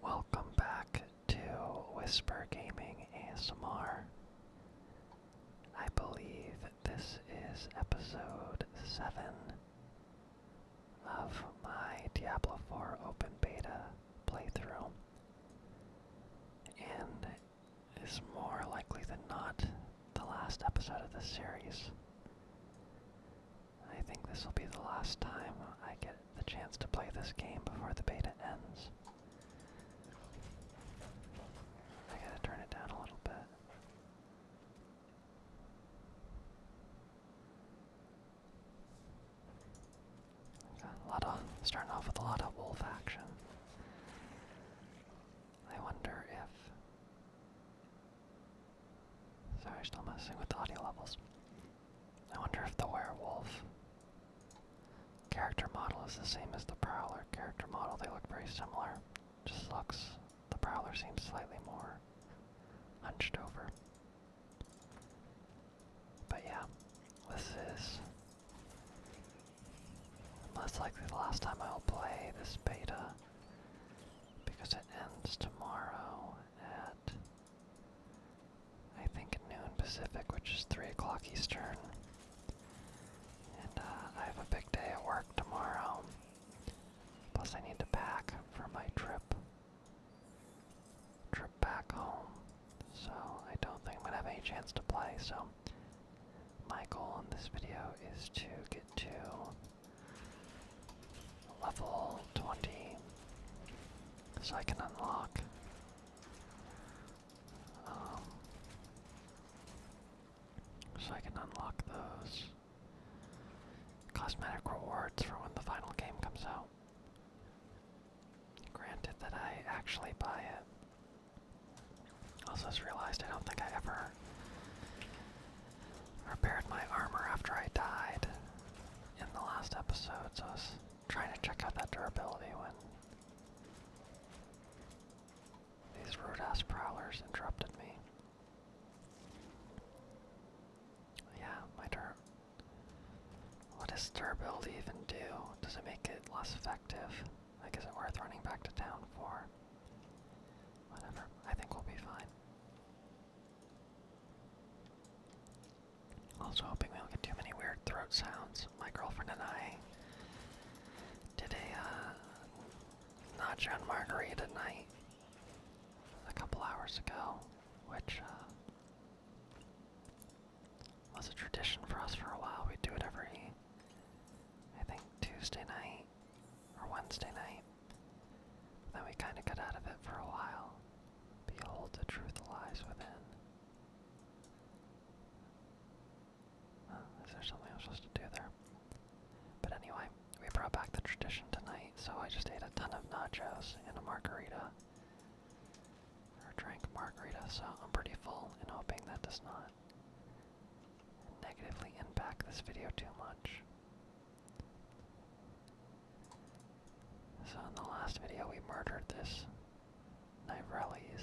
Welcome back to Whisper Gaming ASMR. I believe this is episode 7 of my Diablo 4 Open Beta playthrough, and is more likely than not the last episode of this series. I think this will be the last time I get the chance to play this game before the beta ends. I gotta turn it down a little bit. a lot of starting off with a lot of wolf action. I wonder if. Sorry, still messing with the audio levels. I wonder if the werewolf character model is the same as the Prowler character model. They look very similar. Just looks, the Prowler seems slightly more hunched over. But yeah, this is most likely the last time I'll play this beta because it ends tomorrow at I think noon Pacific, which is 3 o'clock Eastern. And uh, I have a big day at work tomorrow. Plus, I need to pack for my trip. Trip back home. So, I don't think I'm going to have any chance to play. So, my goal in this video is to get to level 20 so I can unlock. so um, I can unlock those cosmetic rewards for when the final game comes out. Granted that I actually buy it. Also just realized I don't think I ever repaired my armor after I died in the last episodes, I was trying to check out that durability when these rude ass prowlers interrupted me. Yeah, my dur. What does durability even do? Does it make it less effective? Like, is it worth running back to town for? Whatever, I think we'll be fine. Also hoping we don't get too many weird throat sounds. My girlfriend and I did a uh, nacho and margarita night a couple hours ago, which uh, was a tradition for us for a while. We do it every, I think, Tuesday night or Wednesday night. Then we kind of got out of it for a while. Behold, the truth lies within. is there something I'm supposed to do there? But anyway, we brought back the tradition tonight, so I just ate a ton of nachos and a margarita. Or drank margarita, so I'm pretty full and hoping that does not negatively impact this video too much. So in the last video we murdered this Nivrellis.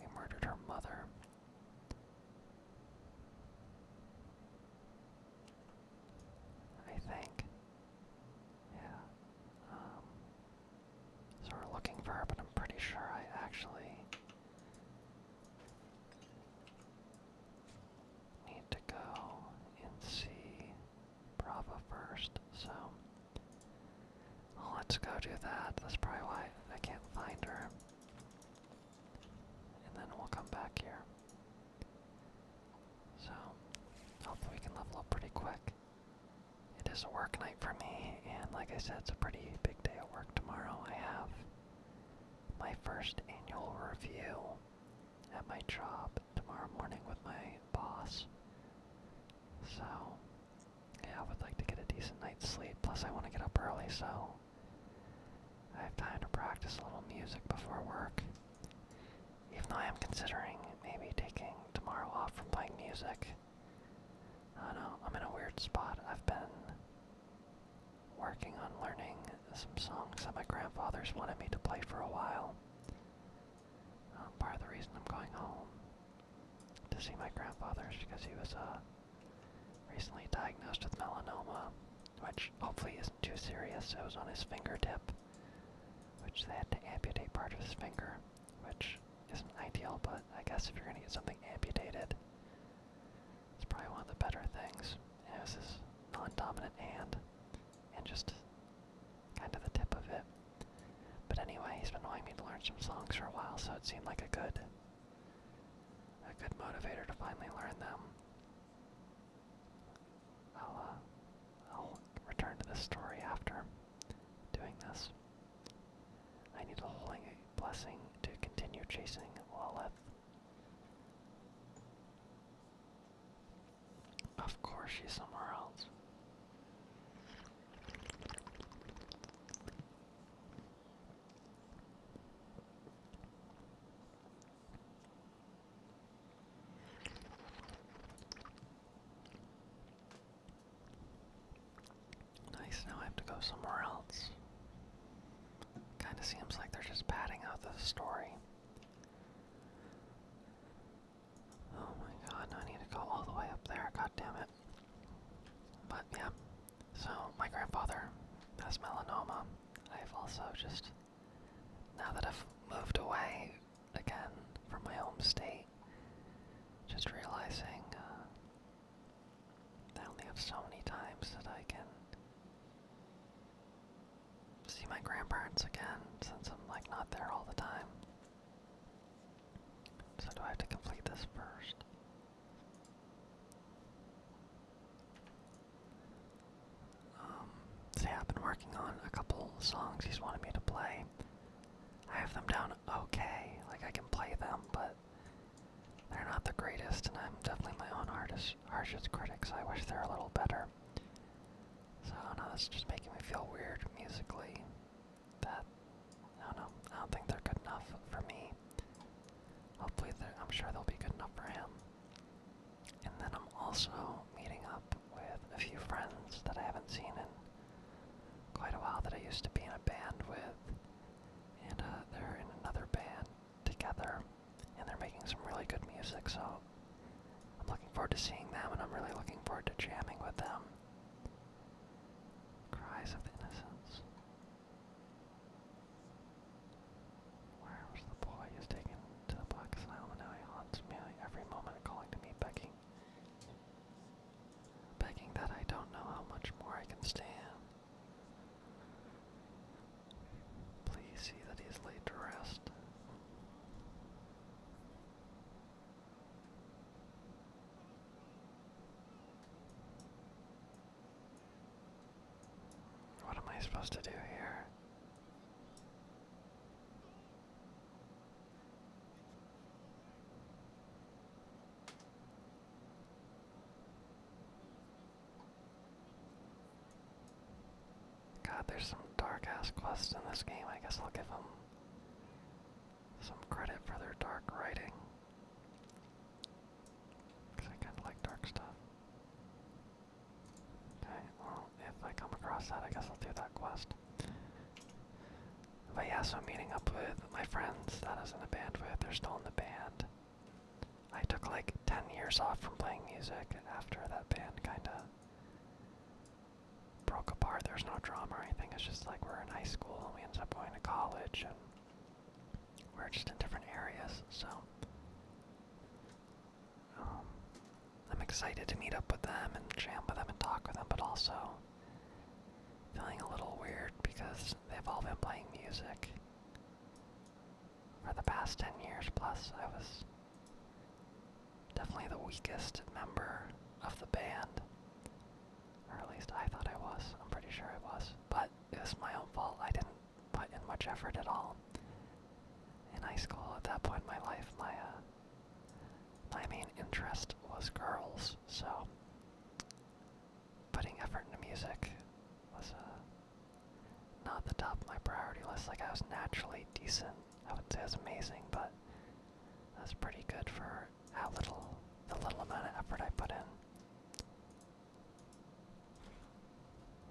We murdered her mother. I think. Yeah. Um, so we're looking for her, but I'm pretty sure I actually need to go and see Bravo first, so let's go do that. That's probably why I can't find her. And then we'll come back here. So, hopefully we can level up pretty quick. It is a work night for me, and like I said, it's a pretty big day at work tomorrow. I have my first annual review at my job tomorrow morning with my boss. So, yeah, I would like to get a decent night's sleep. Plus, I want to get up early, so I have time to practice a little music before work. Even though I am considering maybe taking tomorrow off from playing music. I don't know, I'm in a weird spot. I've been working on learning some songs that my grandfather's wanted me to play for a while. Um, part of the reason I'm going home to see my grandfather is because he was uh, recently diagnosed with melanoma, which hopefully isn't too serious. It was on his fingertip, which they had to amputate part of his finger, which isn't ideal, but I guess if you're going to get something amputated, it's probably one of the better things. And it was non-dominant hand and just kind of the tip of it. But anyway, he's been wanting me to learn some songs for a while, so it seemed like a good, a good motivator to finally learn them. I'll, uh, I'll return to this story after doing this. I need a holy blessing to continue chasing Lilith. Of course, she's somewhere else. Nice, now I have to go somewhere else. Kinda seems like they're just padding out the story. Oh my god, I need to go all the way up there, god damn it. But yeah, so my grandfather has melanoma. I've also just, now that I've moved away again from my home state, just realizing uh, I only have so many times that I can see my grandparents again since I'm like not there all the time. So do I have to complete this first? Um, I've been working on a couple songs he's wanted me to play. I have them down okay, like I can play them, but they're not the greatest, and I'm definitely my own artist, harshest critics. I wish they're a little better. So I know, this is just making me feel weird musically. That I don't know. I don't think they're good enough for me. Hopefully, I'm sure they'll be good enough for him. And then I'm also meeting up with a few friends that I haven't seen in quite a while that I used to be in a band with, and uh, they're in another band together and they're making some really good music, so I'm looking forward to seeing them, and I'm really looking forward to jamming with them. Cries of Innocence. Where the boy who's taken to the Black Asylum and now he haunts me every moment, calling to me, begging, begging that I don't know how much more I can stand. Please see that he is laid to rest. What am I supposed to do here? God, there's some dark ass quests in this game. I guess I'll give them some credit for their dark writing. Because I kind of like dark stuff. Okay, well, if I come across that, I guess I'll do that quest. But yeah, so I'm meeting up with my friends that isn't a in band with. They're still in the band. I took like 10 years off from playing music after that band kinda broke apart. There's no drama or anything, it's just like we're in high school and we end up going to college and we're just in different areas, so um, I'm excited to meet up with them and jam with them and talk with them, but also feeling a little weird because they've all been playing music for the past 10 years plus, I was definitely the weakest member of the band. Or at least I thought I was. I'm pretty sure I was. But it was my own fault. I didn't put in much effort at all. In high school, at that point in my life, my, uh, my main interest was girls, so putting effort into music was, uh, not the top of my priority list. Like I was naturally decent. I would not say I was amazing, but that's pretty good for how little the little amount of effort I put in.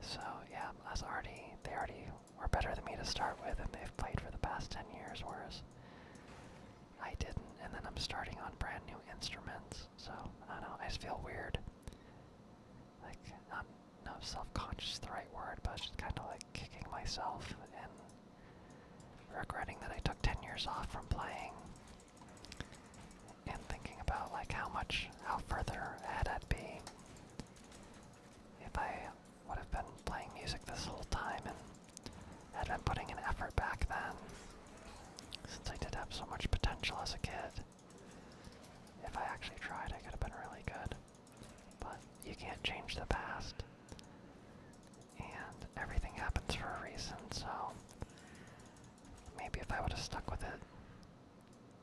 So yeah, that's already they already were better than me to start with, and they've played for the past ten years, whereas I didn't. And then I'm starting on brand new instruments, so I don't know. I just feel weird like not not self-conscious the right word, but just kind of like kicking myself and regretting that I took 10 years off from playing and thinking about like how much how further ahead I'd be if I would have been playing music this whole time and had been putting an effort back then since I did have so much potential as a kid. If I actually tried, I could have been really good. But you can't change the past. And everything happens for a reason, so maybe if I would have stuck with it,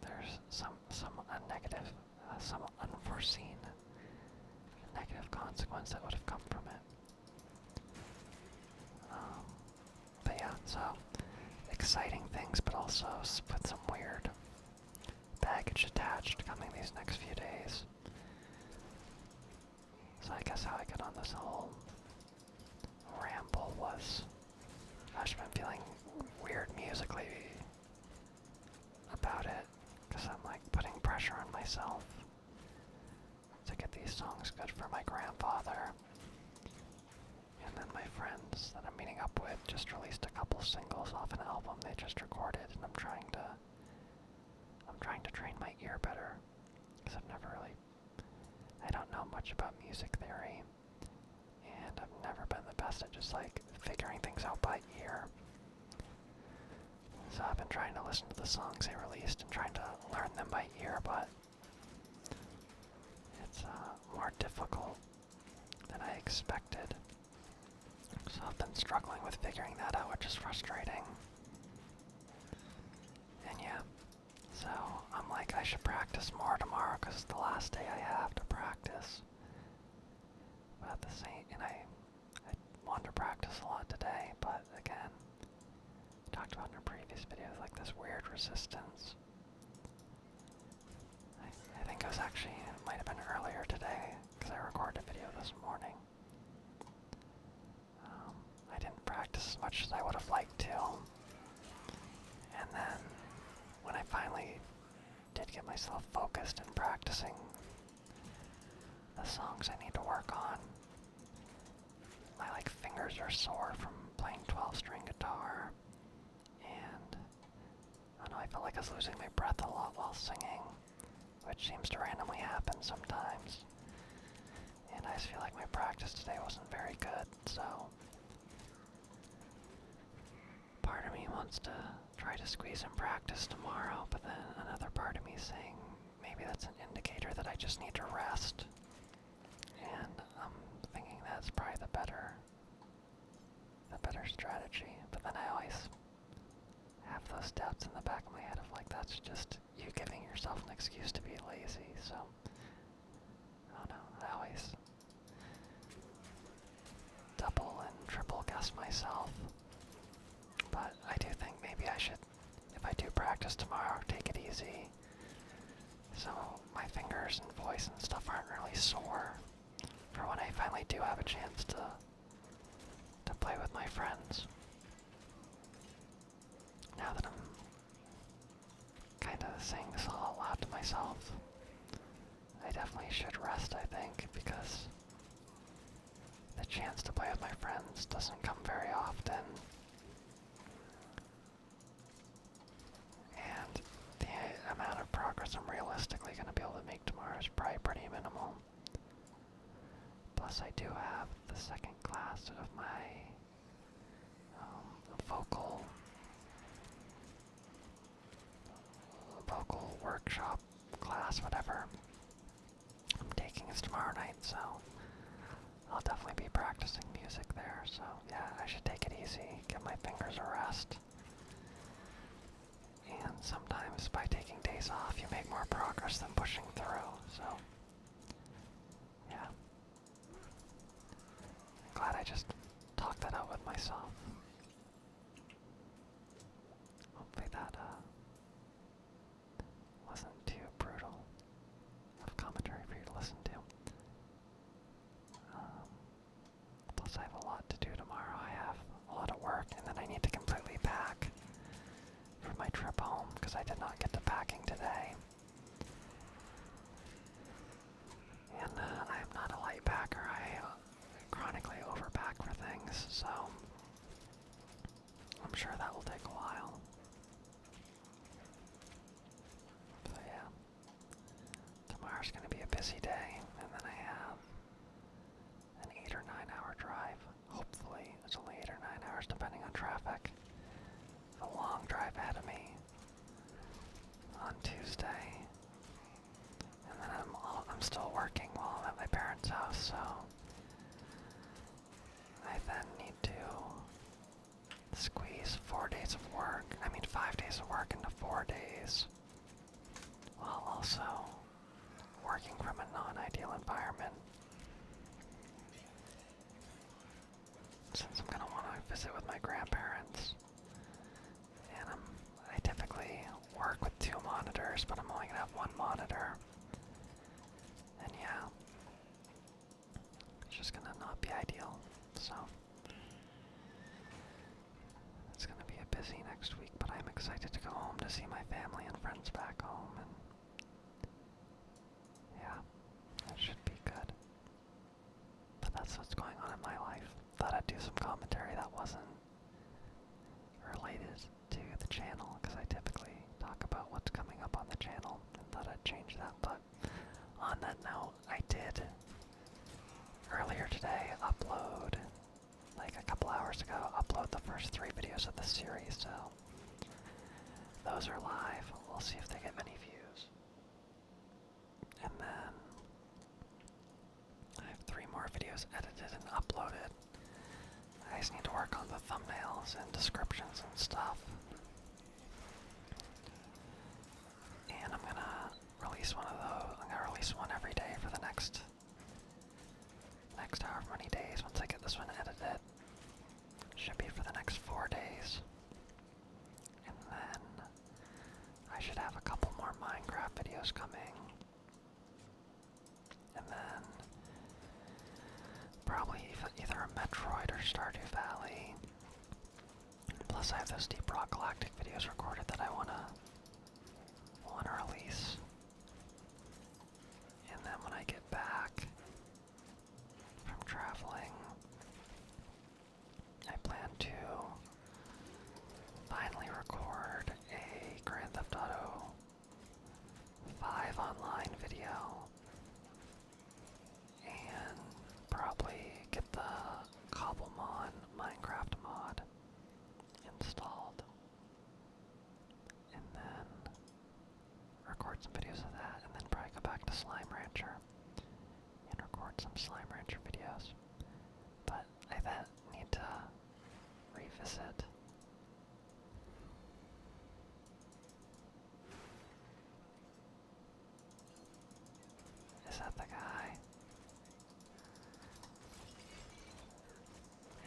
there's some some negative, uh, some unforeseen negative consequence that would have come from it. Um, but yeah, so exciting things, but also with some weird Package attached coming these next few days. So I guess how I got on this whole ramble was I've been feeling weird musically about it because I'm like putting pressure on myself to get these songs good for my grandfather. And then my friends that I'm meeting up with just released a couple singles off an album they just recorded, and I'm trying to I'm trying to train my ear better because I've never really I don't know much about music theory, and I've never been the best at just like figuring things out by ear. So I've been trying to listen to the songs they released and trying to learn them by ear, but it's uh, more difficult than I expected. So I've been struggling with figuring that out, which is frustrating. And yeah, so I'm like, I should practice more tomorrow because it's the last day I have to practice. About at the same, and I, I want to practice a lot today, but again, I talked about in a previous video, like this weird resistance I, think it was actually, it might have been earlier today, because I recorded a video this morning. Um, I didn't practice as much as I would have liked to. And then, when I finally did get myself focused and practicing the songs I need to work on, my like fingers are sore from playing 12 string guitar and I know I felt like I was losing my breath a lot while singing, which seems to randomly happen sometimes. And I feel like my practice today wasn't very good, so. Part of me wants to try to squeeze in practice tomorrow, but then another part of me saying maybe that's an indicator that I just need to rest. And I'm thinking that's probably the better the better strategy. But then I always have those doubts in the back of my head of like, that's just you giving yourself an excuse to be lazy. So, I don't know, I always double and triple guess myself. But I do think maybe I should, if I do practice tomorrow, take it easy. So my fingers and voice and stuff aren't really sore for when I finally do have a chance to to play with my friends. Now that I'm kind of saying this all out to myself, I definitely should rest, I think, because the chance to play with my friends doesn't come very often. And the amount of progress I'm realistically going to be able to make tomorrow is probably pretty minimal. Plus, I do have the second class of my um, vocal vocal workshop class, whatever I'm taking is tomorrow night, so I'll definitely be practicing music there. So yeah, I should take it easy, give my fingers a rest. And sometimes by taking days off, you make more progress than pushing through, so. Yeah. glad I just talked that out with myself. Hopefully that uh, wasn't too brutal of commentary for you to listen to. Um, Plus, I have a lot to do tomorrow. I have a lot of work, and then I need to completely pack for my trip home because I did not get to packing today. And uh, I am not a light packer. I uh, chronically overpack for things, so I'm sure that will take a while. yeah. Tomorrow's going to be a busy day, and then I have an 8 or 9 hour drive. Hopefully, it's only 8 or 9 hours depending on traffic. A long drive ahead of me on Tuesday. And then I'm, still working while I'm at my parents' house, so I then need to squeeze four days of work, I mean five days of work into four days while also working from a non-ideal environment. Since I'm gonna want to visit with my grandparents, and i typically work with two monitors, but I'm only gonna have one monitor, and yeah, it's just gonna not be ideal. So. It's going to be a busy next week, but I'm excited to go home to see my family and friends back home. yeah, that should be good. But that's what's going on in my life. Thought I'd do some commentary that wasn't related to the channel, because I typically talk about what's coming up on the channel, and thought I'd change that. But on that note, I did earlier today upload, like a couple hours ago, upload the first three videos of the series, so those are live. We'll see if they get many views. And then I have three more videos edited and uploaded. I just need to work on the thumbnails and descriptions and stuff. And I'm gonna release one of those. I'm gonna release one every day for the next next however many days. Once I get this one edited, should be for the next four days, and then I should have a couple more Minecraft videos coming, and then probably either a Metroid or Stardew Valley. Plus I have those Deep Rock Galactic videos recorded that I wanna wanna release. And then when I get back from traveling, I plan to finally record a Grand Theft Auto 5 online video and probably get the Cobblemon Minecraft mod installed. And then record some videos of that, and then probably go back to Slime Rancher and record some Slime Rancher videos. But I then need to revisit. Is that the guy?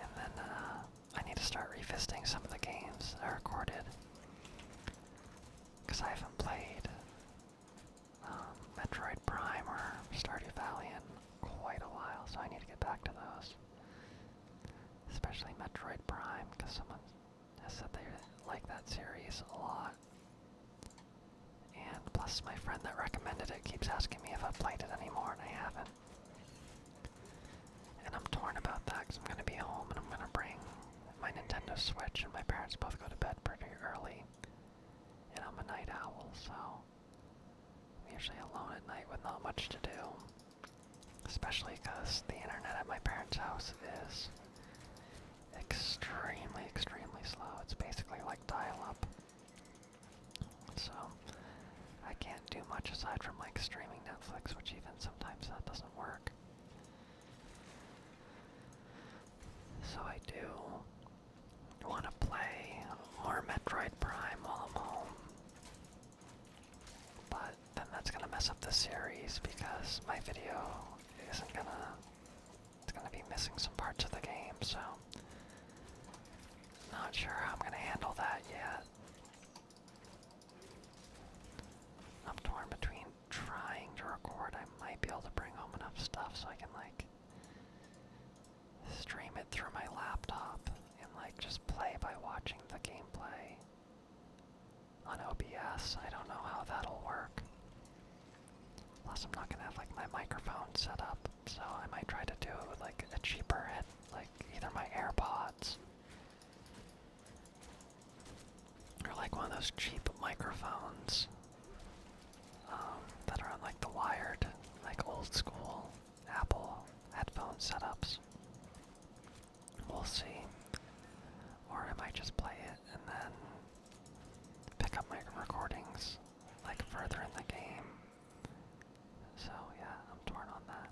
And then uh, I need to start revisiting some of the games I recorded. Because I haven't played um, Metroid Prime or Stardew Valley in quite a while, so I need to get back to those. Especially Metroid Prime, because someone has said they like that series a lot. And plus, my friend that recommended it keeps asking me if I've played it anymore, and I haven't. And I'm torn about that because I'm going to be home and I'm going to bring my Nintendo Switch, and my parents both go to bed pretty early. And I'm a night owl, so I'm usually alone at night with not much to do. Especially because the internet at my parents' house is extremely, extremely slow. It's basically like dial-up. So I can't do much aside from like streaming Netflix, which even sometimes that doesn't work. So I do want to play more Metroid Prime while I'm home. But then that's going to mess up the series because my video isn't going to it's gonna be missing some parts of the game, so not sure how I'm gonna handle that yet. I'm torn between trying to record. I might be able to bring home enough stuff so I can like stream it through my laptop and like just play by watching the gameplay on OBS. I don't know how that'll work. Plus, I'm not gonna have like my microphone set up, so I might try to do it with like a cheaper head, like either my AirPods or like one of those cheap microphones um, that are like the wired, like old school Apple headphone setups. We'll see. Or I might just play it and then pick up my recordings like further in the game. So yeah, I'm torn on that.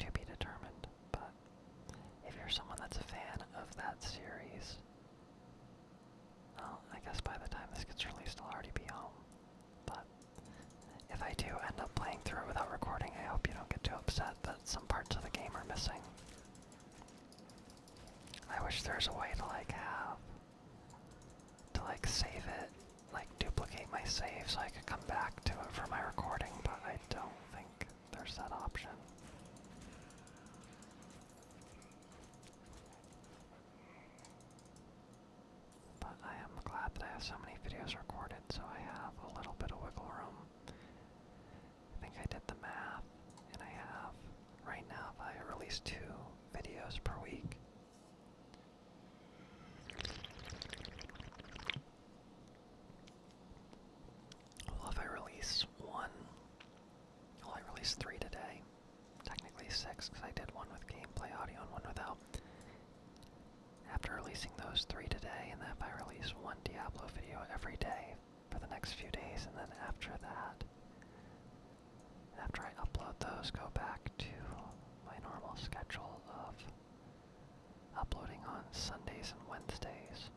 To be determined, but if you're someone that's a fan of that series, well, I guess by the time this gets released, I'll already be home. But if I do end up playing through without recording, I hope you don't get too upset that some parts of the game are missing. I wish there was a way to like have to like save it, like duplicate my save so I could come back to it for my recording, but I don't think there's that option. But I am glad that I have so many videos recorded, so I have a little bit of wiggle room. I think I did the math, and I have right now if I release two videos per week. Well, if I release one, well, I released three today. Technically six, because I did one with gameplay audio and one without. After releasing those three today, and then if I release one Diablo video every day for the next few days, and then after that, after I upload those, go back to my normal schedule of uploading on Sundays and Wednesdays.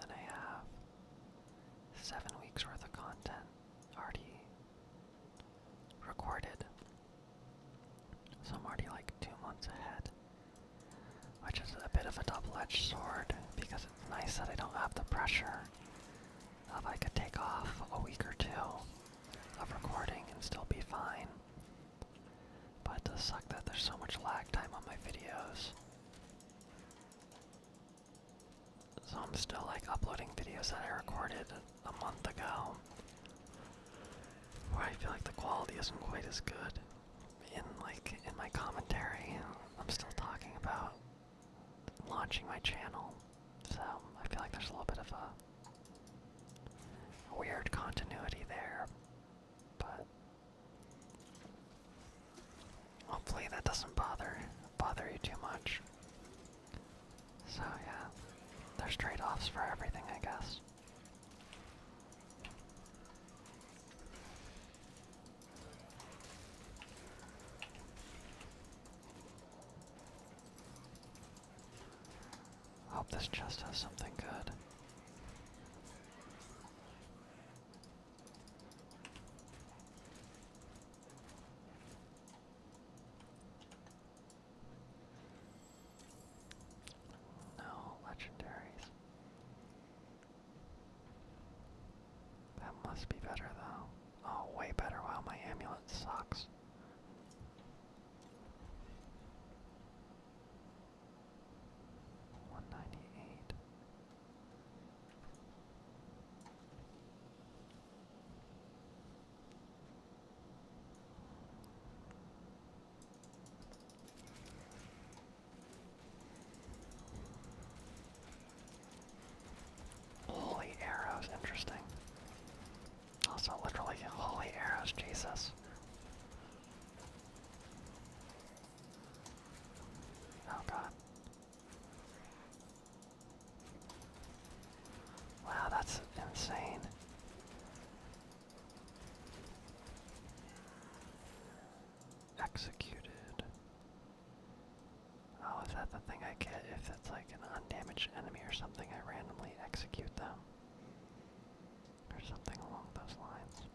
then I have seven weeks worth of content already recorded. So I'm already like two months ahead. Which is a bit of a double edged sword because Nice that I don't have the pressure of I could take off a week or two of recording and still be fine. But it does suck that there's so much lag time on my videos. So I'm still like uploading videos that I recorded a month ago. Where I feel like the quality isn't quite as good. In like in my commentary, I'm still talking about launching my channel, so I feel like there's a little bit of a, weird continuity there, but hopefully that doesn't bother bother you too much. So yeah, there's trade-offs for everything, I guess. Hope this chest has something good. No legendaries. That must be better though. Oh, way better. Wow, my amulet sucks. One ninety eight. Holy arrows, interesting. Also, literally, holy arrows, Jesus. Oh god. Wow, that's insane. Executed. Oh, is that the thing I get if it's like an undamaged enemy or something? I randomly execute them. Or something along those lines.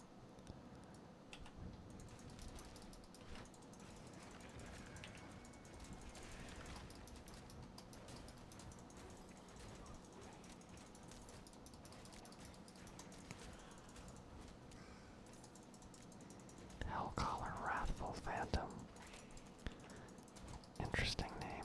Hell Hellcaller Wrathful Phantom. Interesting name.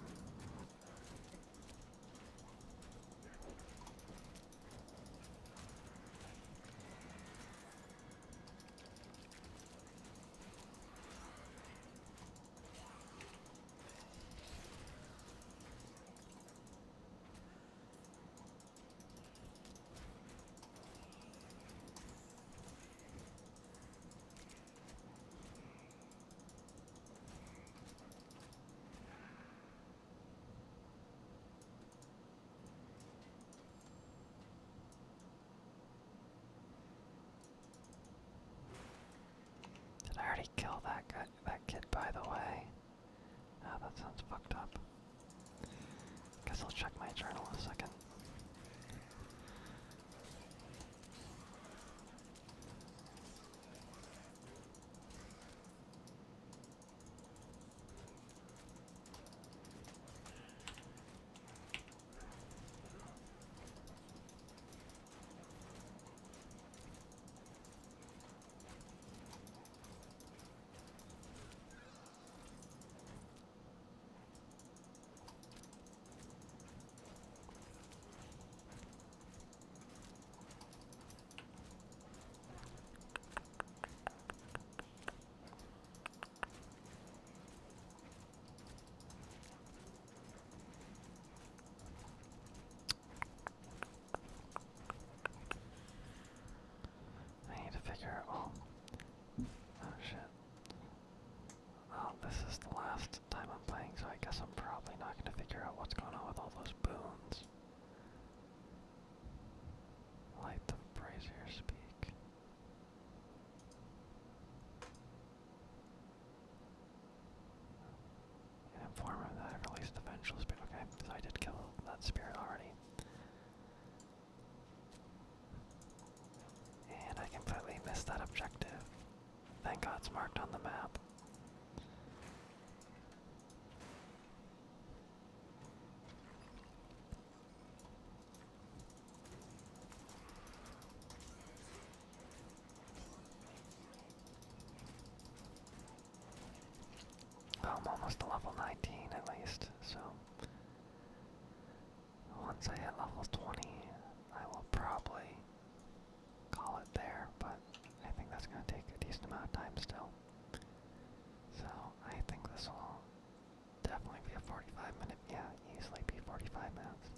Did I already kill that guy, that kid? By the way, oh, that sounds fucked up. Guess I'll check my journal a second. I need to figure out. Oh shit. Oh, this is the last time I'm playing, so I guess I'm probably not gonna figure out what's going on with all those boons. Light the brazier speak. An informer that I released the vengeful spirit. Okay, so I did kill that spirit already. And I completely missed that objective. Thank God it's marked on the map. Oh, I'm almost to level 19 at least, so once I hit level 20, I will probably call it there, but I think that's going to take a decent amount of time still. So I think this will definitely be a 45 minute, yeah, easily be 45 minutes.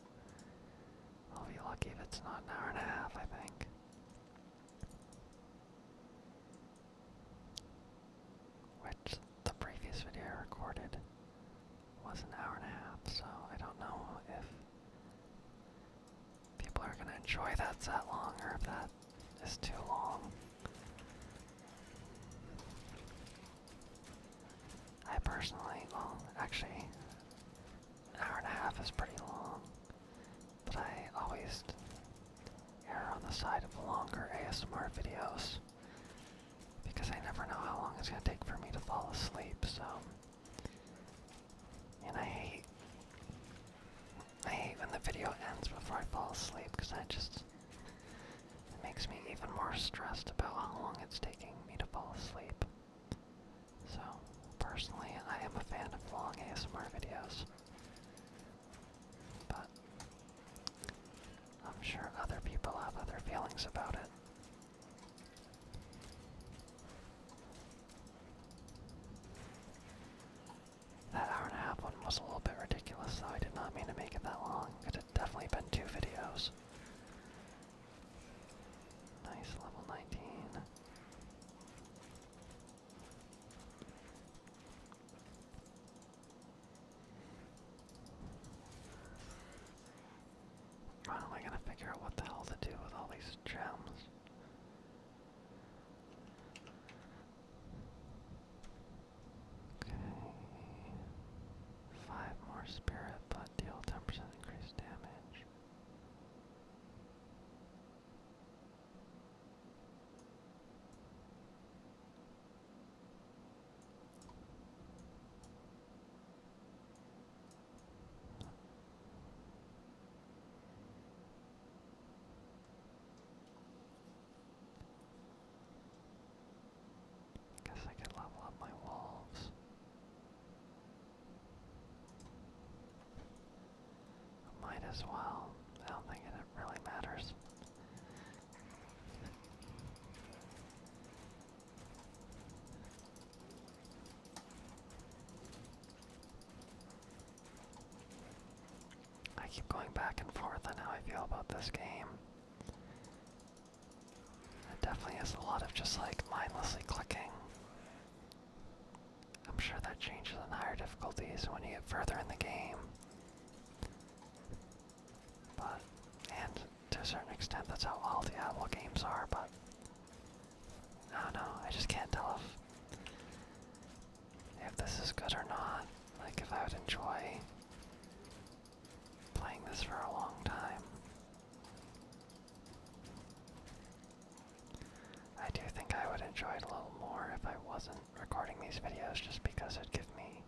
I'll be lucky if it's not an hour and a half, I think. Which the previous video I recorded was an hour and a half, so I don't know if people are gonna enjoy that that long or if that is too long. I personally, well, actually, an hour and a half is pretty long, but I always err on the side of longer ASMR videos because I never know how long it's going to take for me to fall asleep, so. And I hate. I hate when the video ends before I fall asleep because that just. It makes me even more stressed about how long it's taking me to fall asleep. So, personally, I am a fan of long ASMR videos. But I'm sure other people have other feelings about it. That hour and a half one was a little bit ridiculous, though. I did not mean to make it that long. It had definitely been two videos. Nice level 19. How am I gonna figure out what the hell to do with all these gems? Okay. Five more spirit, but deal 10% increased damage. Guess I could level up my wolves. might as well. I don't think it really matters. I keep going back and forth on how I feel about this game. It definitely is a lot of just like mindlessly clicking. I'm sure that changes in higher difficulties when you get further in the game. But, and to a certain extent, that's how all the Diablo games are, but I don't know, I just can't tell if, if this is good or not. Like, if I would enjoy playing this for a long time. I do think I would enjoy it a little more if I wasn't recording these videos just because it'd give me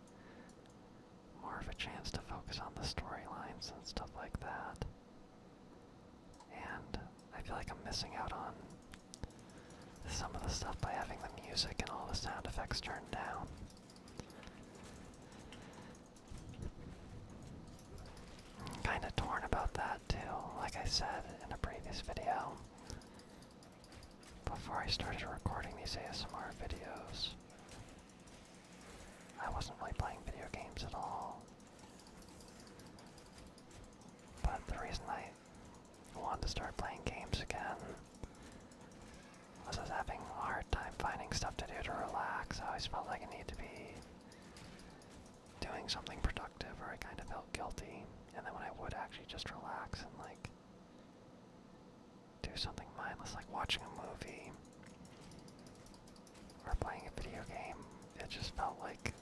more of a chance to focus on the storylines and stuff like that. And I feel like I'm missing out on some of the stuff by having the music and all the sound effects turned down. kinda torn about that too, like I said in a previous video. Before I started recording these ASMR videos, I wasn't really playing video games at all. But the reason I wanted to start playing games again was I was having a hard time finding stuff to do to relax. I always felt like I needed to be doing something productive or I kind of felt guilty. And then when I would actually just relax and like do something mindless like watching a movie or playing a video game. It just felt like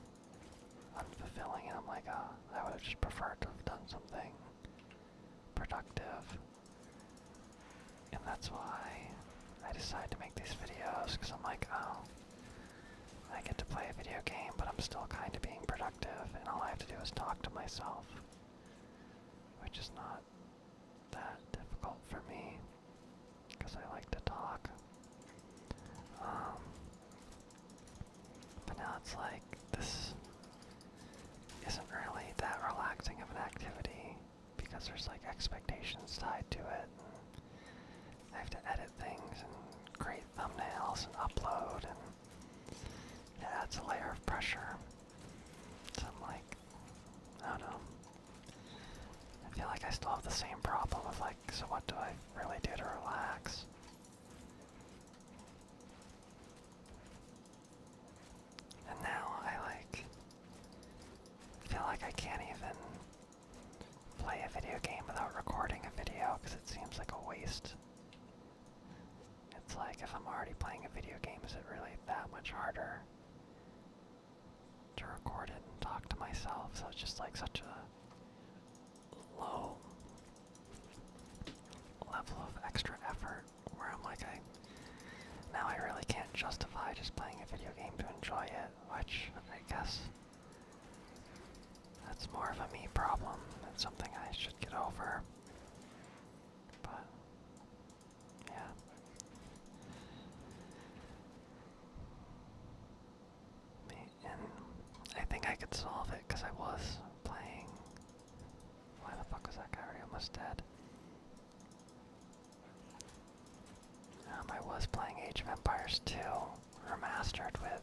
unfulfilling, and I'm like, ah, I would have just preferred to have done something productive. And that's why I decided to make these videos, because I'm like, oh, I get to play a video game, but I'm still kind of being productive, and all I have to do is talk to myself which is not that difficult for me because I like to talk. Um, but now it's like this isn't really that relaxing of an activity because there's like expectations tied to it. And I have to edit things and create thumbnails and upload and it adds a layer of pressure. So like, I don't know. I feel like I still have the same problem of like, so what do I really do to relax? And now I like feel like I can't even play a video game without recording a video because it seems like a waste it's like if I'm already playing a video game, is it really that much harder to record it and talk to myself? So it's just like such a low level of extra effort where I'm like, I now I really can't justify just playing a video game to enjoy it, which I guess that's more of a me problem. It's something I should get over. But yeah. And I think I could solve it because I was playing. Why the fuck was that guy almost dead? Um, I was playing Age of Empires 2 Remastered with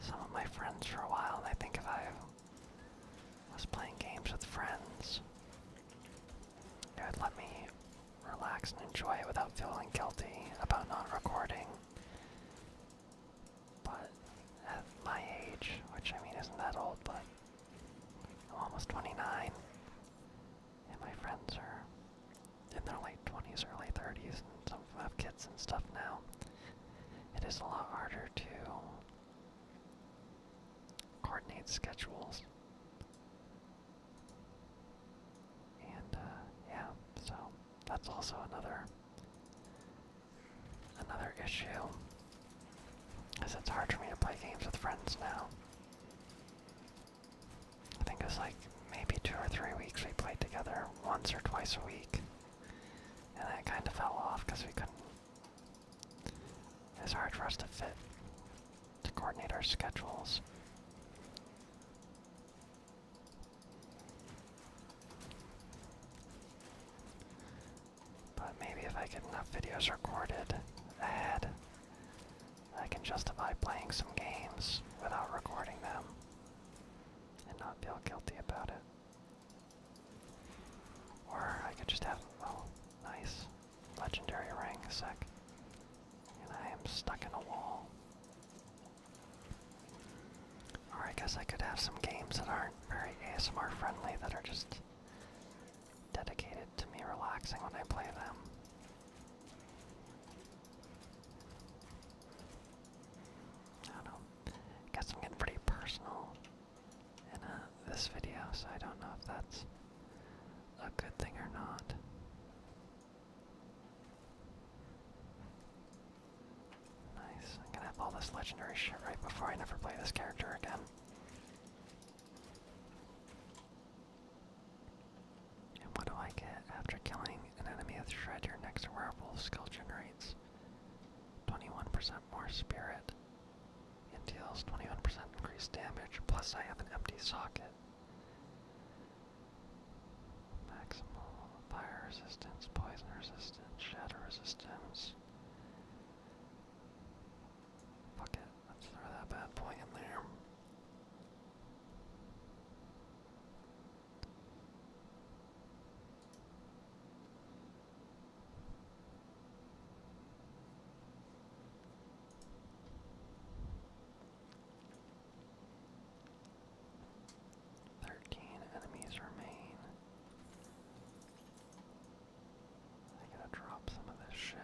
some of my friends for a while, and I think if I was playing games with friends, it would let me relax and enjoy it without feeling guilty about not recording. But at my age, which I mean isn't that old, but I'm almost 29, and my friends are in their late 20s, early 30s, and some of them have kids and stuff now. It is a lot harder to coordinate schedules. And uh, yeah, so that's also another another issue. because it's hard for me to play games with friends now. I think it was like maybe two or three weeks we played together once or twice a week. And that kind of fell off because we couldn't. It's hard for us to fit, to coordinate our schedules. But maybe if I get enough videos recorded ahead, I can justify playing some games without recording them and not feel guilty about it. Or I could just have, oh, nice. Legendary ring, sec. And I am stuck in a wall. Or I guess I could have some games that aren't very ASMR friendly that are just dedicated to me relaxing when I play them. I don't know. Guess I'm getting pretty personal in uh, this video, so I don't know if that's a good thing or not. Nice. I'm gonna have all this legendary shit right before I never play this character again. And what do I get after killing an enemy with Shred? Your next werewolf skill generates 21% more spirit. It deals 21% increased damage, plus I have an empty socket. Maximal fire resistance, poison resistance, shadow resistance. Fuck it, let's throw that bad boy in there. Thirteen enemies remain. I gotta drop some of this shit.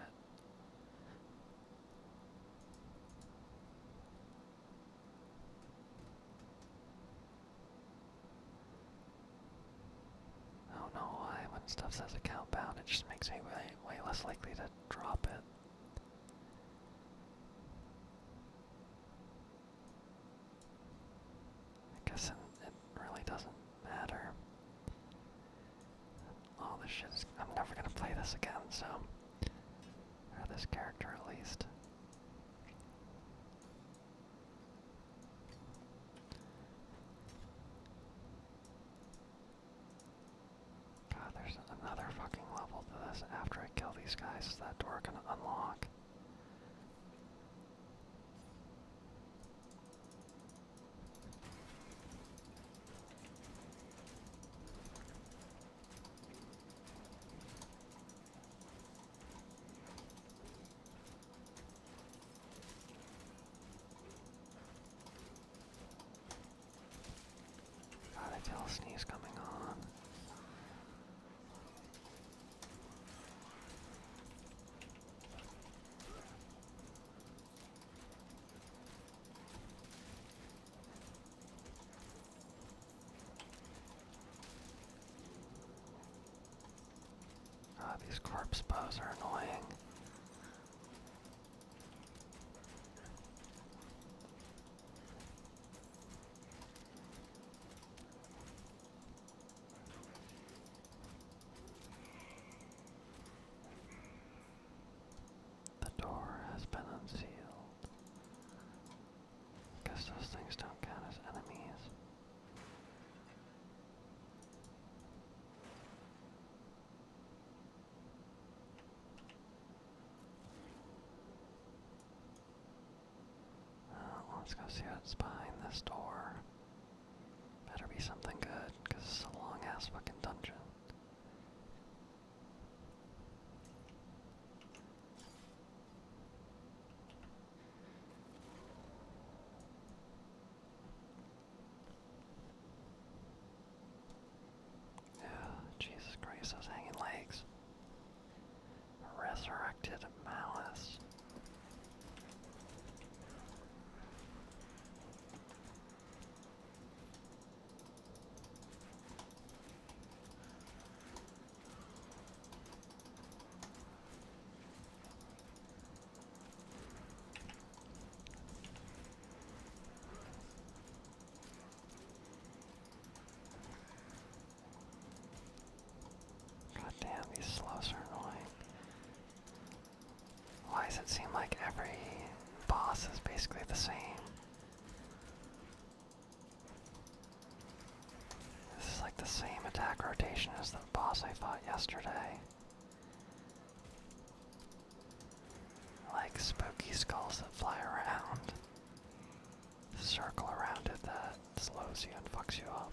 Oh no! I when stuff says account bound it just makes me way, way less likely to drop it. I guess it, it really doesn't matter. All this shit is, I'm never gonna play this again, so. this character at least. God, there's another fucking level to this after I kill these guys. that door gonna unlock? Got a tail sneeze coming on. Ah, these corpse bows are annoying. The door has been unsealed. Because those things don't count as enemies. Uh, let's go see what's behind this door. Better be something good, because it's a long ass fucking dungeon. Jesus Christ, those hanging legs. Resurrected malice. God damn, these slows are annoying. Why does it seem like every boss is basically the same? This is like the same attack rotation as the boss I fought yesterday. Like spooky skulls that fly around, circle around it that slows you and fucks you up.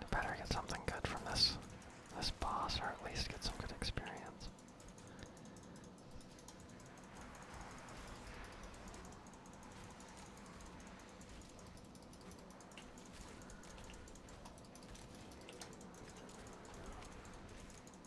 I better get something good from this this boss, or at least get some good experience.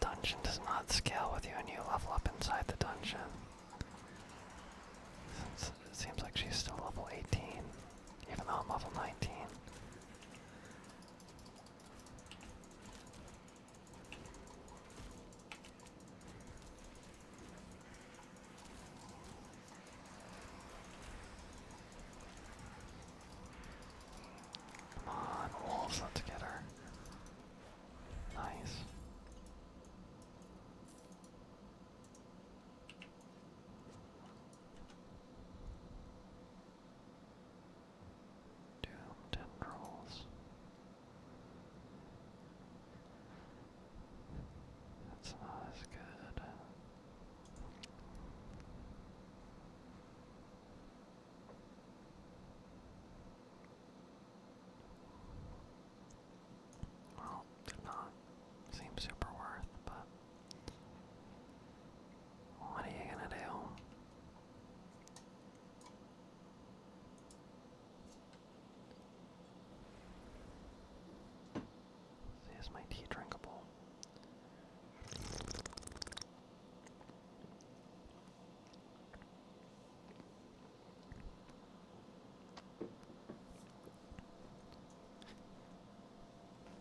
Dungeon does not scale with you and you level up inside the dungeon. Since it seems like she's still level 18, even though I'm level 19. Come on, wolves, let's get her. Nice. Doomed and rolls. That's good. Well, did not seem super worth, but what are you gonna do? is my tea drinkable?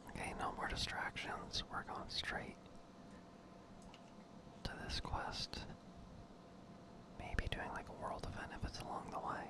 Okay, no more distractions. We're going straight to this quest. Maybe doing like a world event if it's along the way.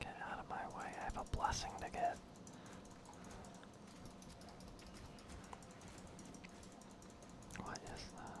Get out of my way. I have a blessing to get. What is that?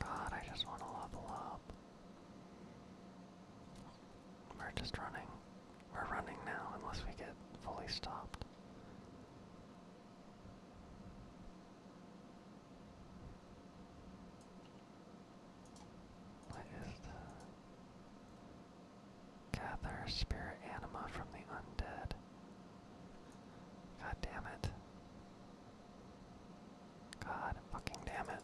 God, I just want to level up. We're just running. We're running now, unless we get fully stopped. What is that? Gather spirit anima from the undead. God damn it. God fucking damn it.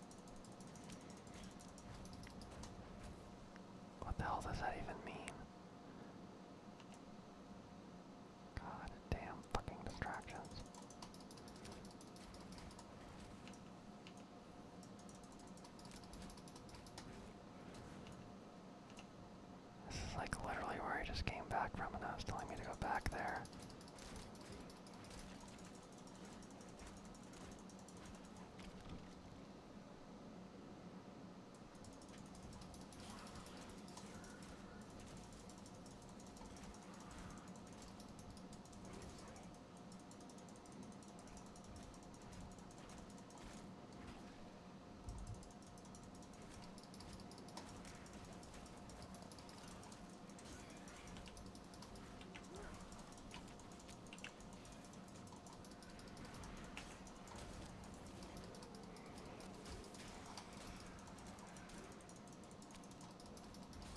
What the hell does that even mean? God damn fucking distractions. This is like literally where I just came back from and I was telling me to go back there.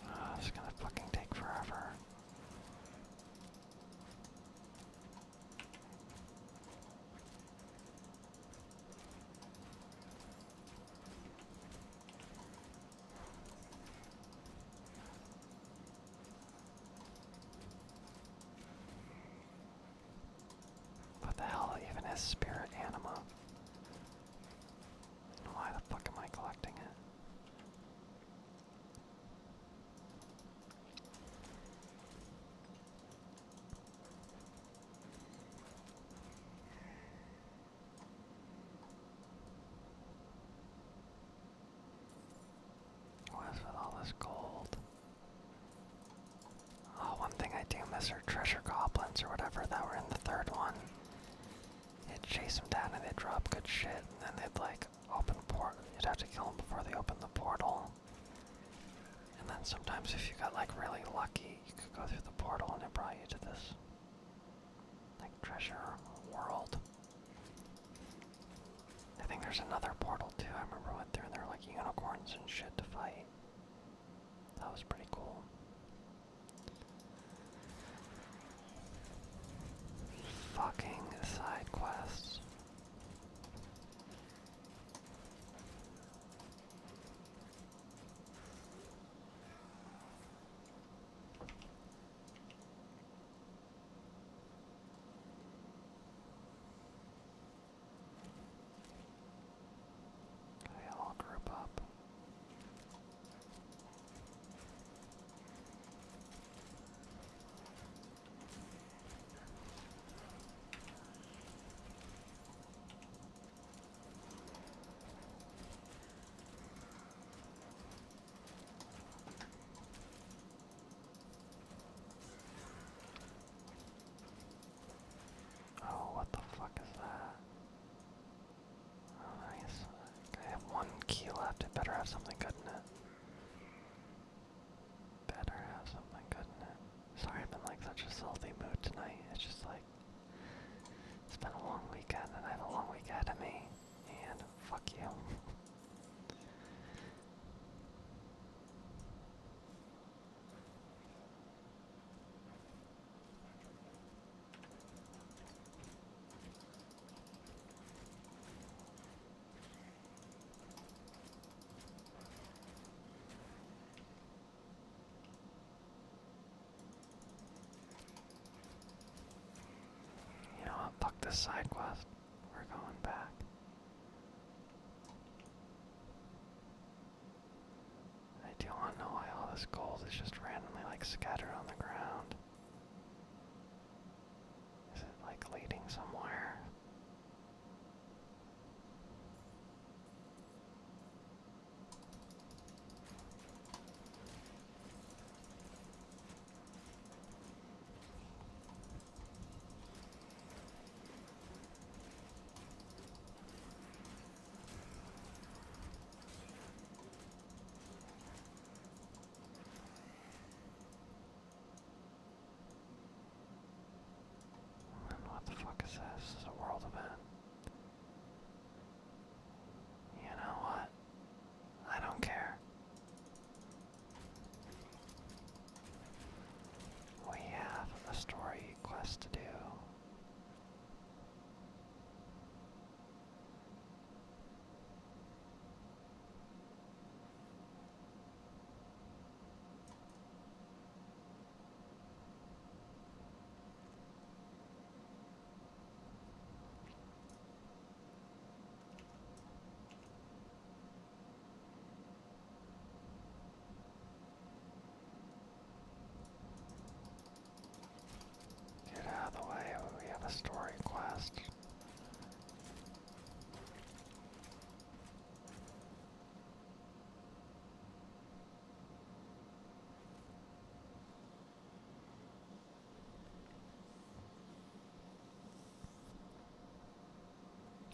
Oh, this is gonna fucking take forever. What the hell even is spirit anima? And why the fuck am I collecting it? What is with all this gold? Oh, one thing I do miss are treasure goblins or whatever that were in the third one. They would chase them down and they drop good shit, and then they'd like open port. You'd have to kill them before they open the portal. And then sometimes if you got like really lucky, you could go through the portal and it brought you to this like treasure world. I think there's another portal too. I remember I went there and there were like unicorns and shit to fight. That was pretty cool. Fucking side quests. They all group up. Oh, what the fuck is that? Oh, nice. I have one key left. It better have something good in it. Better have something, couldn't it? Sorry, i am in like such a salty mood tonight. It's just like it's been a long weekend, and I have a long weekend ahead of me. And fuck you. You know Fuck this side quest. We're going back. I do want to know why all this gold is just randomly like scattered on the ground. Is it like leading somewhere? what the fuck is this? This is a world event. You know what? I don't care. We have a story quest to do. Get out of the way, we have a story quest.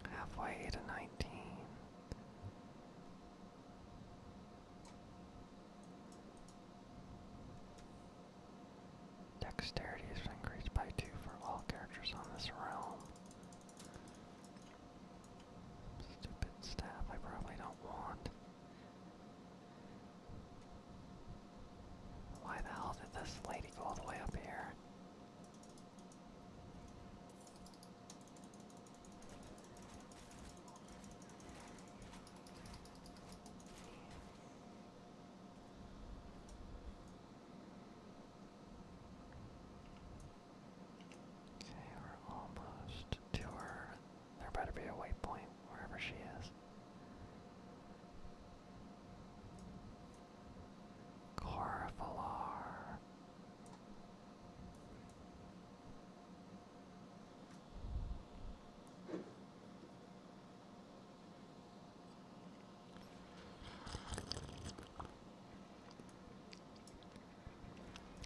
Halfway to nineteen. Dexterity is increased by 2 for all characters on this realm. Stupid staff I probably don't want. Why the hell did this lady go all the way up here? Okay, we're almost to her. There better be a waypoint wherever she is. Corvalar.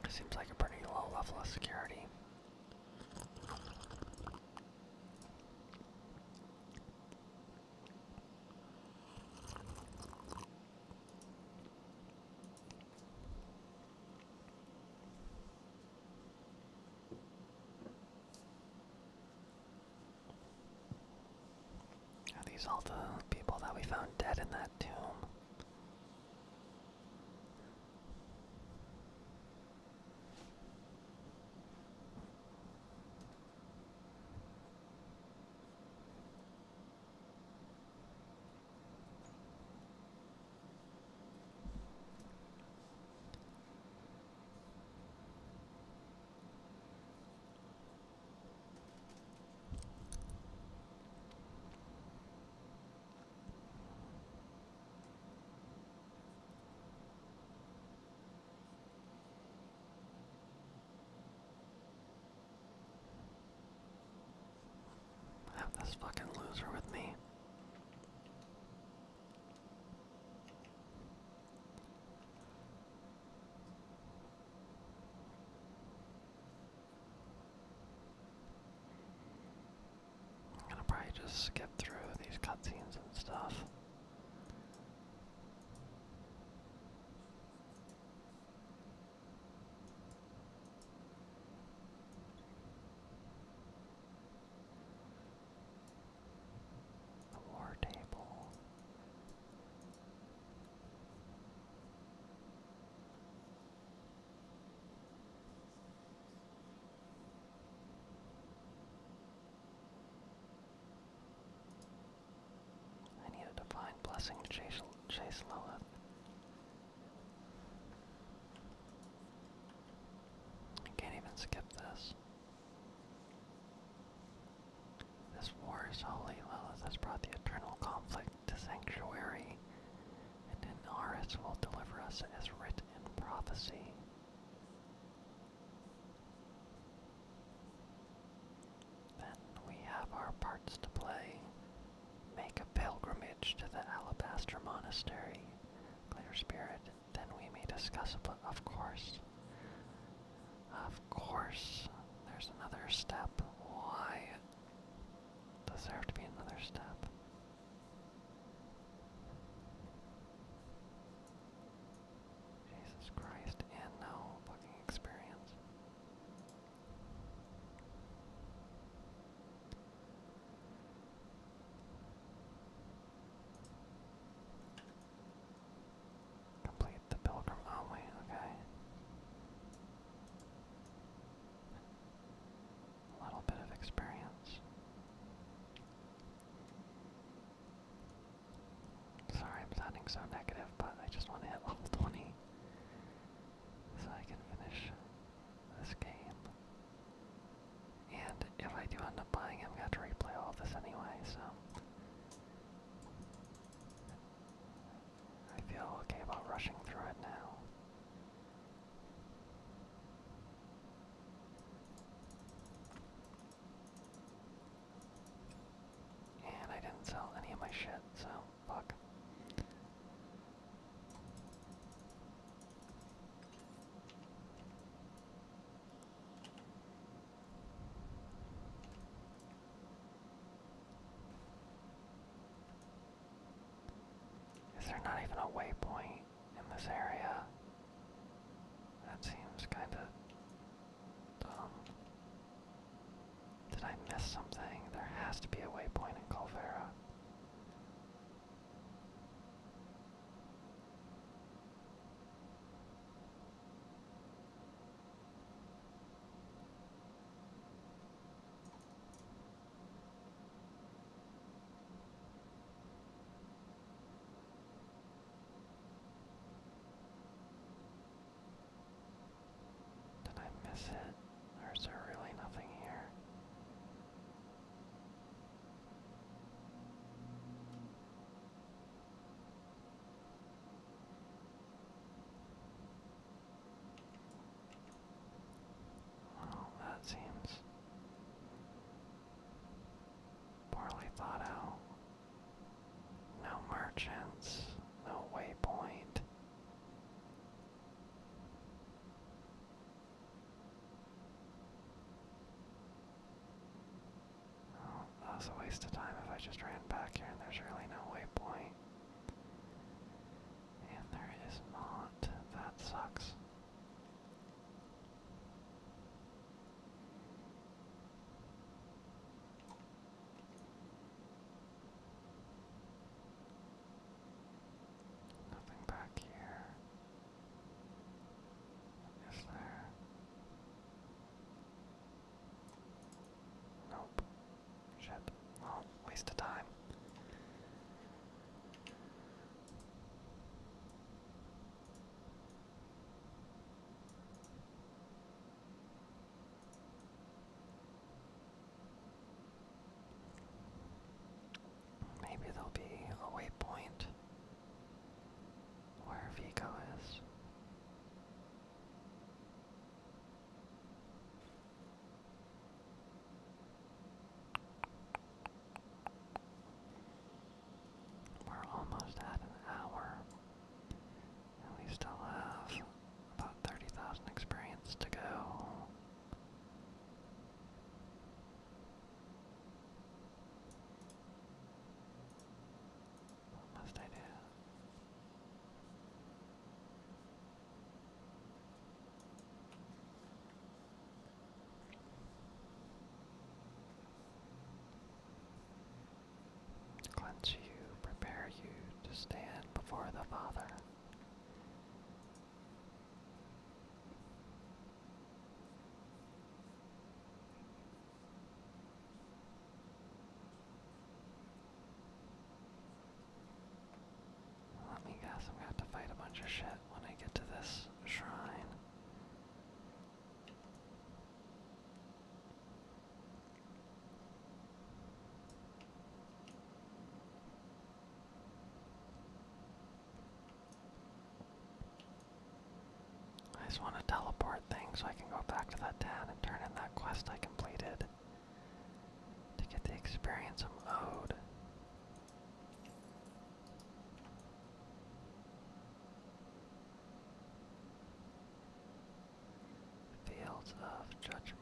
Seems like a pretty low level of security. Are these all the people that we found dead in that tomb? I Have this fucking loser with me. I'm gonna probably just skip through these cutscenes and stuff. The war table. I need a divine blessing to chase, chase Lilith. I can't even skip this. This war is holy. Lilith has brought the eternal conflict to sanctuary, and Inaris will deliver us as writ in prophecy. Then we have our parts to play. Make a pilgrimage to the Alabaster Monastery. Clear Spirit then we may discuss, of course. Of course, there's another step. Why does there have to be another step? Jesus Christ, and no fucking experience. Complete the pilgrim oh, okay. A little bit of experience. Sorry I'm sounding so negative, but I just want to hit level 20 so I can finish this game. And if I do end up buying him, I'm going have to replay all this anyway, so. I feel okay about rushing through it now. And I didn't sell any of my shit, so fuck. Is there not even a waypoint in this area? That seems kinda dumb. Did I miss something? There has to be a waypoint in Calvera. Did I miss it? There's really nothing here? Well, that seems poorly thought out. No merchants, no waypoint. Well, oh, that a waste of time if I just ran back here and there's really no waypoint. And there is not. That sucks. Nothing back here. Is there? Nope. Shit. Well, waste of time. Maybe there'll be a waypoint where Vigo is. We're almost at an hour, and we still have about 30,000 experience to go. What must I do? Cleanse you, prepare you to stand before the Father. Let me guess, I'm gonna have to fight a bunch of shit when I get to this shrine. I just want to teleport things so I can go back to that town and turn in that quest I completed to get the experience i owed. Fields of Judgment.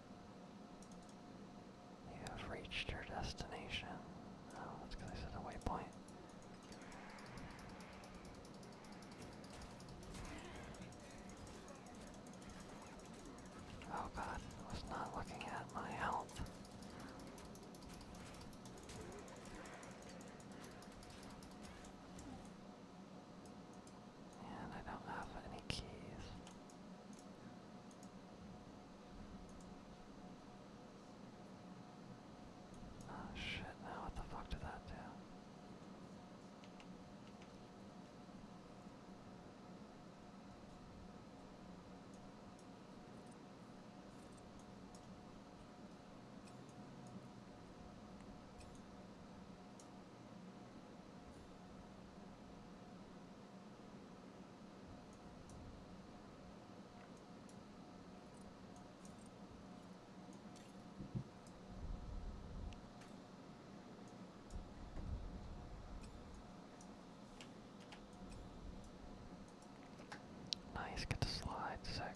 You have reached your destination. Oh, that's because I said a waypoint. Oh god, I was not looking at my help, And I don't have any keys. Oh shit, now oh, what the fuck did that do? Nice, get the slide sec.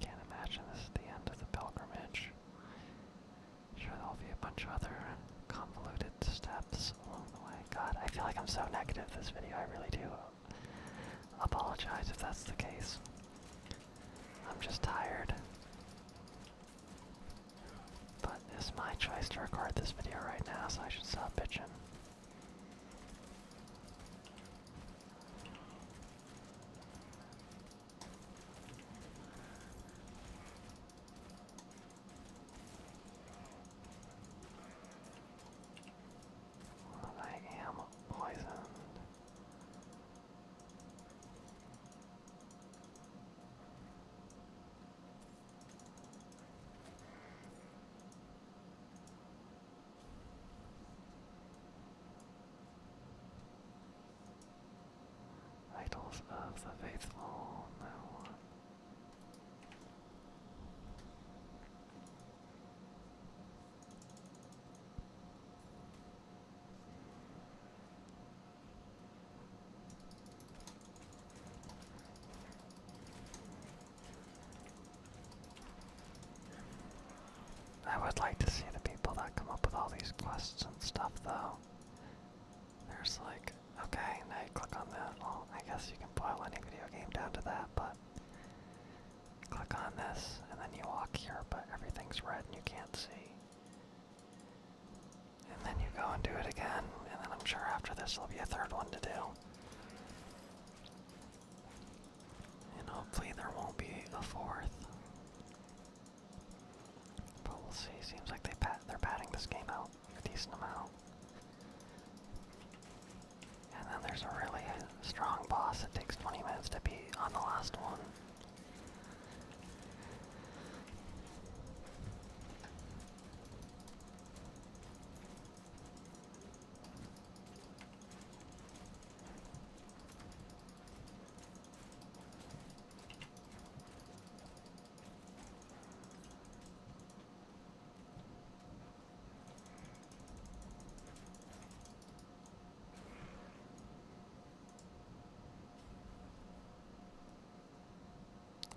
Can't imagine this is the end of the pilgrimage. Sure, there'll be a bunch of other convoluted steps along the way. God, I feel like I'm so negative this video, I really do apologize if that's the case. I'm just tired. But it's my choice to record this video right now, so I should stop bitching. I am poisoned. Idols of the faithful, no. I would like to see the people that come up with all these quests and stuff, though. There's like, okay, now you click on that. Well, I guess you can boil any video game down to that, but Click on this, and then you walk here, but everything's red and you can't see. And then you go and do it again, and then I'm sure after this there'll be a third one to do. And hopefully there won't be a fourth. But we'll see. Seems like they they're batting this game out a decent amount. And then there's a really strong boss It takes 20 minutes to beat on the last one.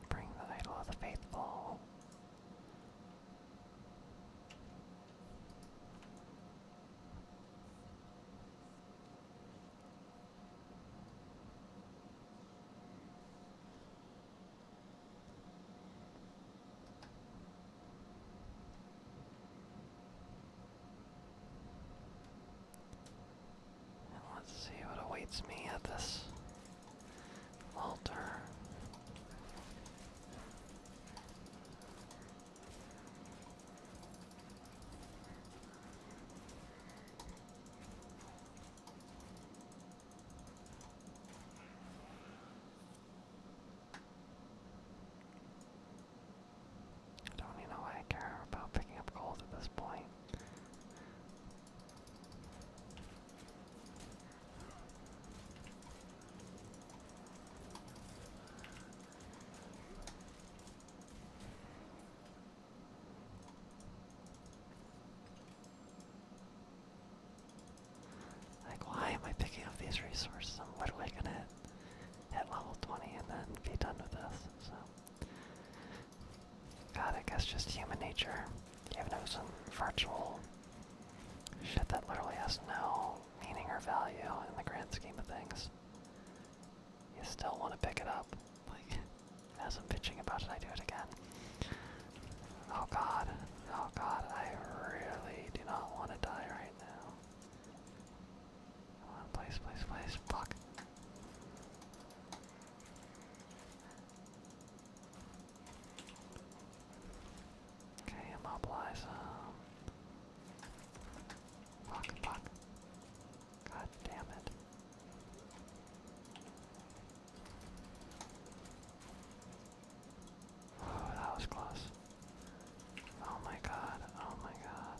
Bring the idol of the faithful let's see what awaits me at this altar. I don't even know why I care about picking up gold at this point. Like, why am I picking up these resources? I'm literally gonna hit level 20 and then be done with this, so. God, I guess just human nature. Even though some virtual shit that literally has no meaning or value in the grand scheme of things. You still want to pick it up. Like, as I'm bitching about it, I do it again. Oh god, oh god, I really do not want to die right now. Come on, please, fuck. Okay, immobilize um Fuck, fuck. God damn it. Oh, that was close. Oh my god, oh my god.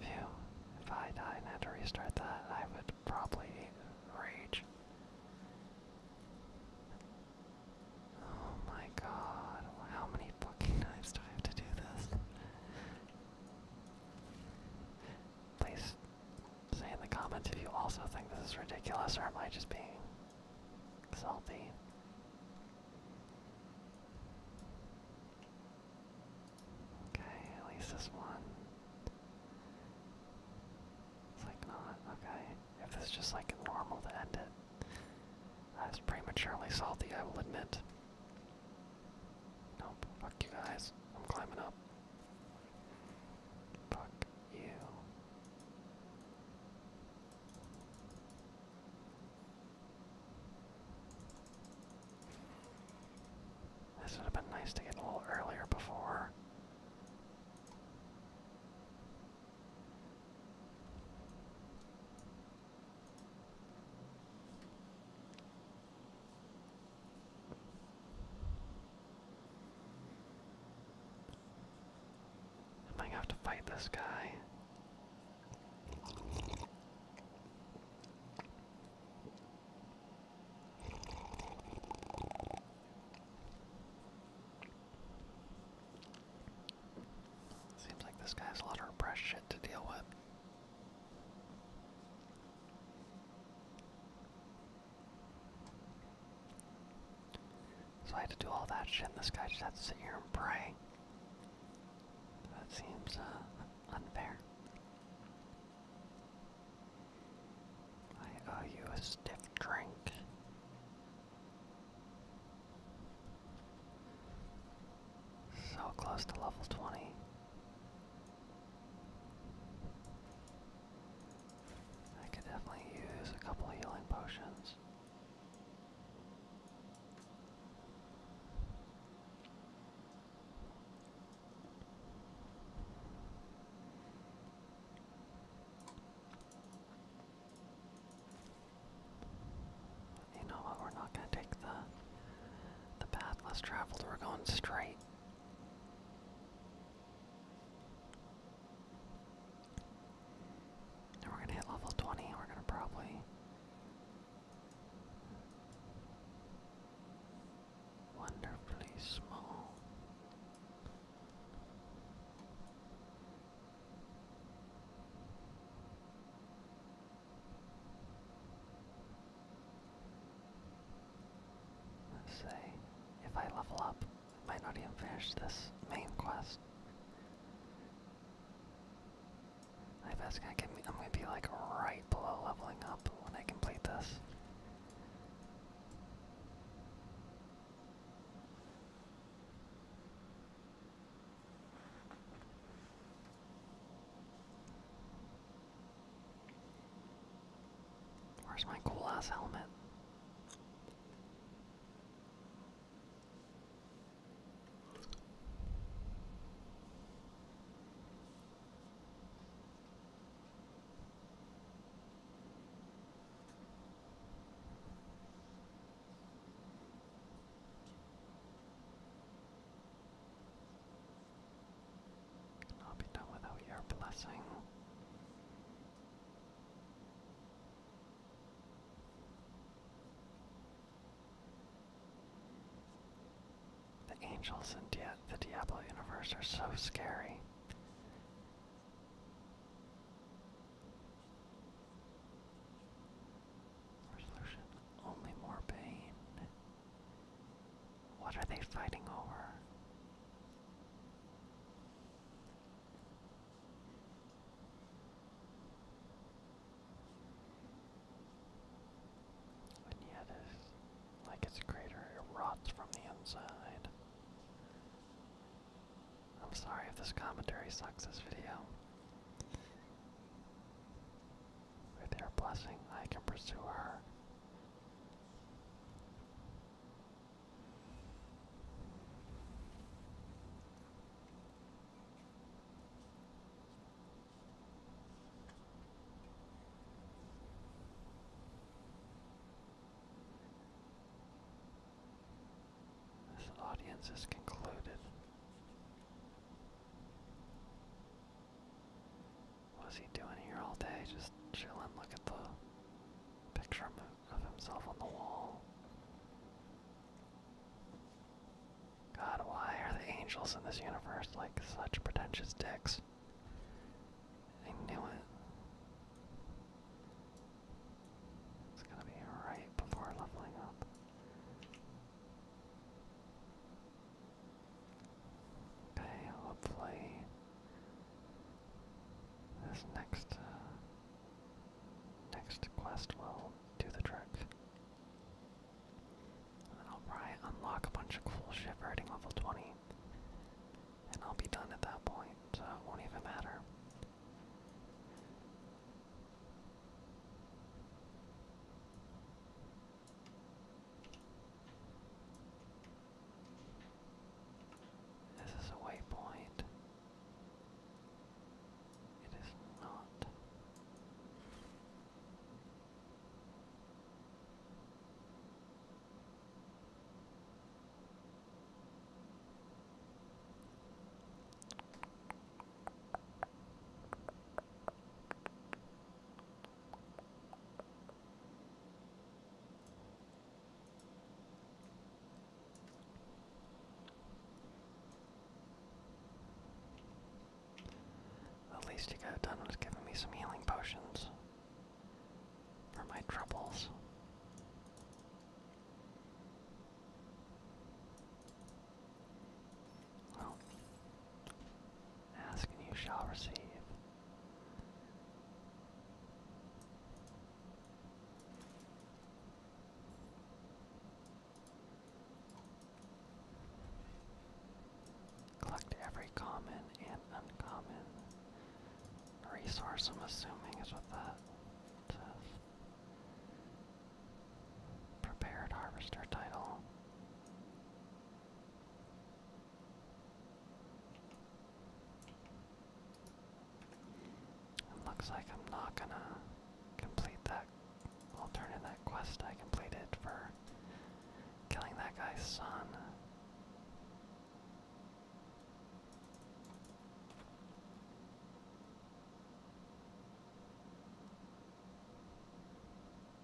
Phew, if I die and have to restart that, I would probably rage. Oh my god, how many fucking knives do I have to do this? Please say in the comments if you also think this is ridiculous or am I just being salty? Okay, at least this one. It's like not, okay. If it's just like normal to end it. that's prematurely salty, I will admit. Nope, fuck you guys. I'm climbing up. Fuck you. This would have been nice to get a little earlier before. I might have to fight this guy. Seems like this guy has a lot of repressed shit to deal with. So I had to do all that shit, this guy just had to sit here and pray. That seems uh, unfair. I owe you a stiff drink. So close to level 20. I could definitely use a couple healing potions. You know what? We're not gonna take the the path less traveled. We're going straight. we're gonna hit level 20. We're gonna probably wonderfully small. Let's say if I level up, I might not even finish this main quest. I that's gonna get me I'm gonna be like right below leveling up when I complete this. Where's my cool ass helmet? Cannot be done without your blessing. The angels in Dia the Diablo universe are so scary. Resolution only more pain. What are they fighting over? And yet, like its crater, it rots from the inside. I'm sorry if this commentary sucks this video. With your blessing, I can pursue her. This audience has concluded. What's he doing here all day? Just chilling. Look at the picture of himself on the wall. God, why are the angels in this universe like such pretentious dicks? I knew it. It's gonna be right before leveling up. Okay, hopefully this next uh, next quest will do the trick. And I'll probably unlock a bunch of cool shit for hitting level 20. And I'll be done at that point, won't even matter. This is a waypoint. It is not. At least you got done with giving me some healing potions for my troubles. Well, ask and you shall receive. Collect every common and uncommon resource, I'm assuming, is with the Prepared harvester title. It looks like I'm not gonna complete that that I'll turn in that quest I completed for killing that guy's son.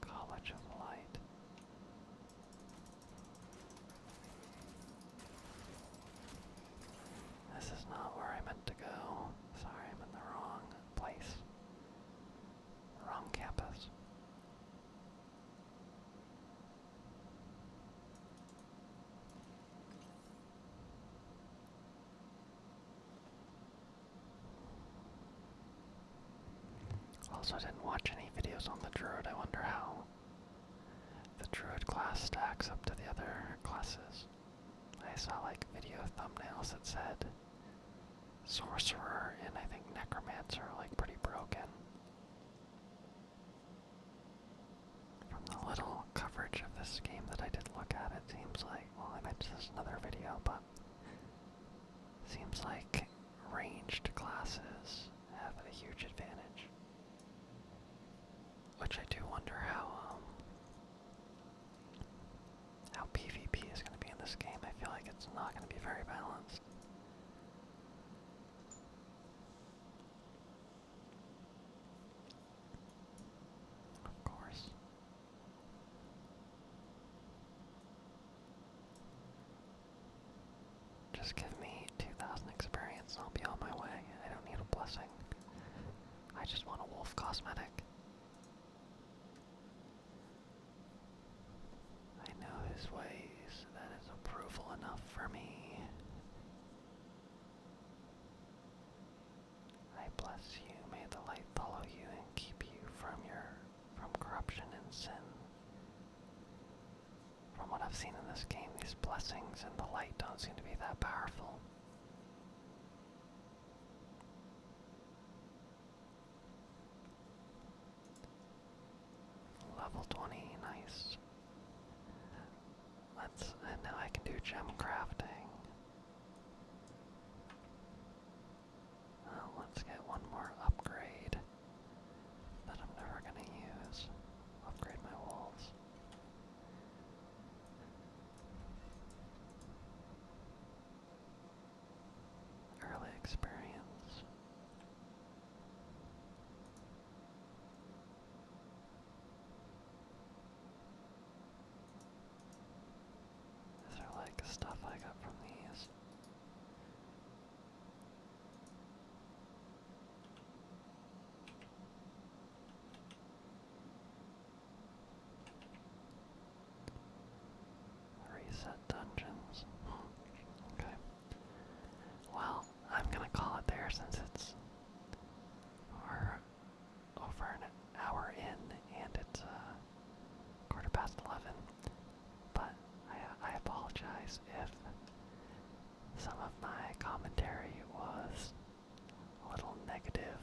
College of Light. This is not where I meant to go. Sorry, I'm in the wrong place. Wrong campus. Also, didn't watch any videos on the Druid. I wonder how the Druid class stacks up to the other classes. I saw like video thumbnails that said sorcerer and I think necromancer like pretty broken. From the little coverage of this game that I did look at, it seems like, well, I mentioned this another video, but seems like ranged classes have a huge advantage. Which I do wonder how um, how PvP is going to be in this game. I feel like it's not going to be very balanced. Of course. Just give me 2,000 experience and I'll be on my way. I don't need a blessing. I just want a wolf cosmetic. I know his ways, that is approval enough for me. I bless you, may the light follow you and keep you from your from corruption and sin. From what I've seen in this game, these blessings and the light don't seem to be that powerful. Level 20, nice. Let's, now I can do gem crafting. Uh, let's get one more upgrade that I'm never gonna use. Upgrade my walls early experience. These are like stuff I got from these. Reset dungeons. okay. Well, I'm gonna call it there since it's over an hour in and it's uh, quarter past eleven. But I, apologize if some of my commentary was a little negative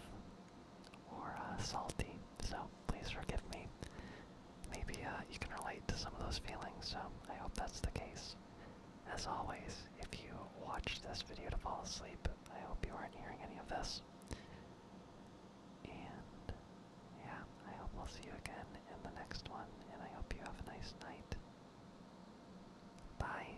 or uh, salty so please forgive me. Maybe uh, you can relate to some of those feelings, so I hope that's the case. As always, if you watch this video to fall asleep, I hope you aren't hearing any of this. And yeah, I hope we will see you again in the next one, and I hope you have a nice night. Bye.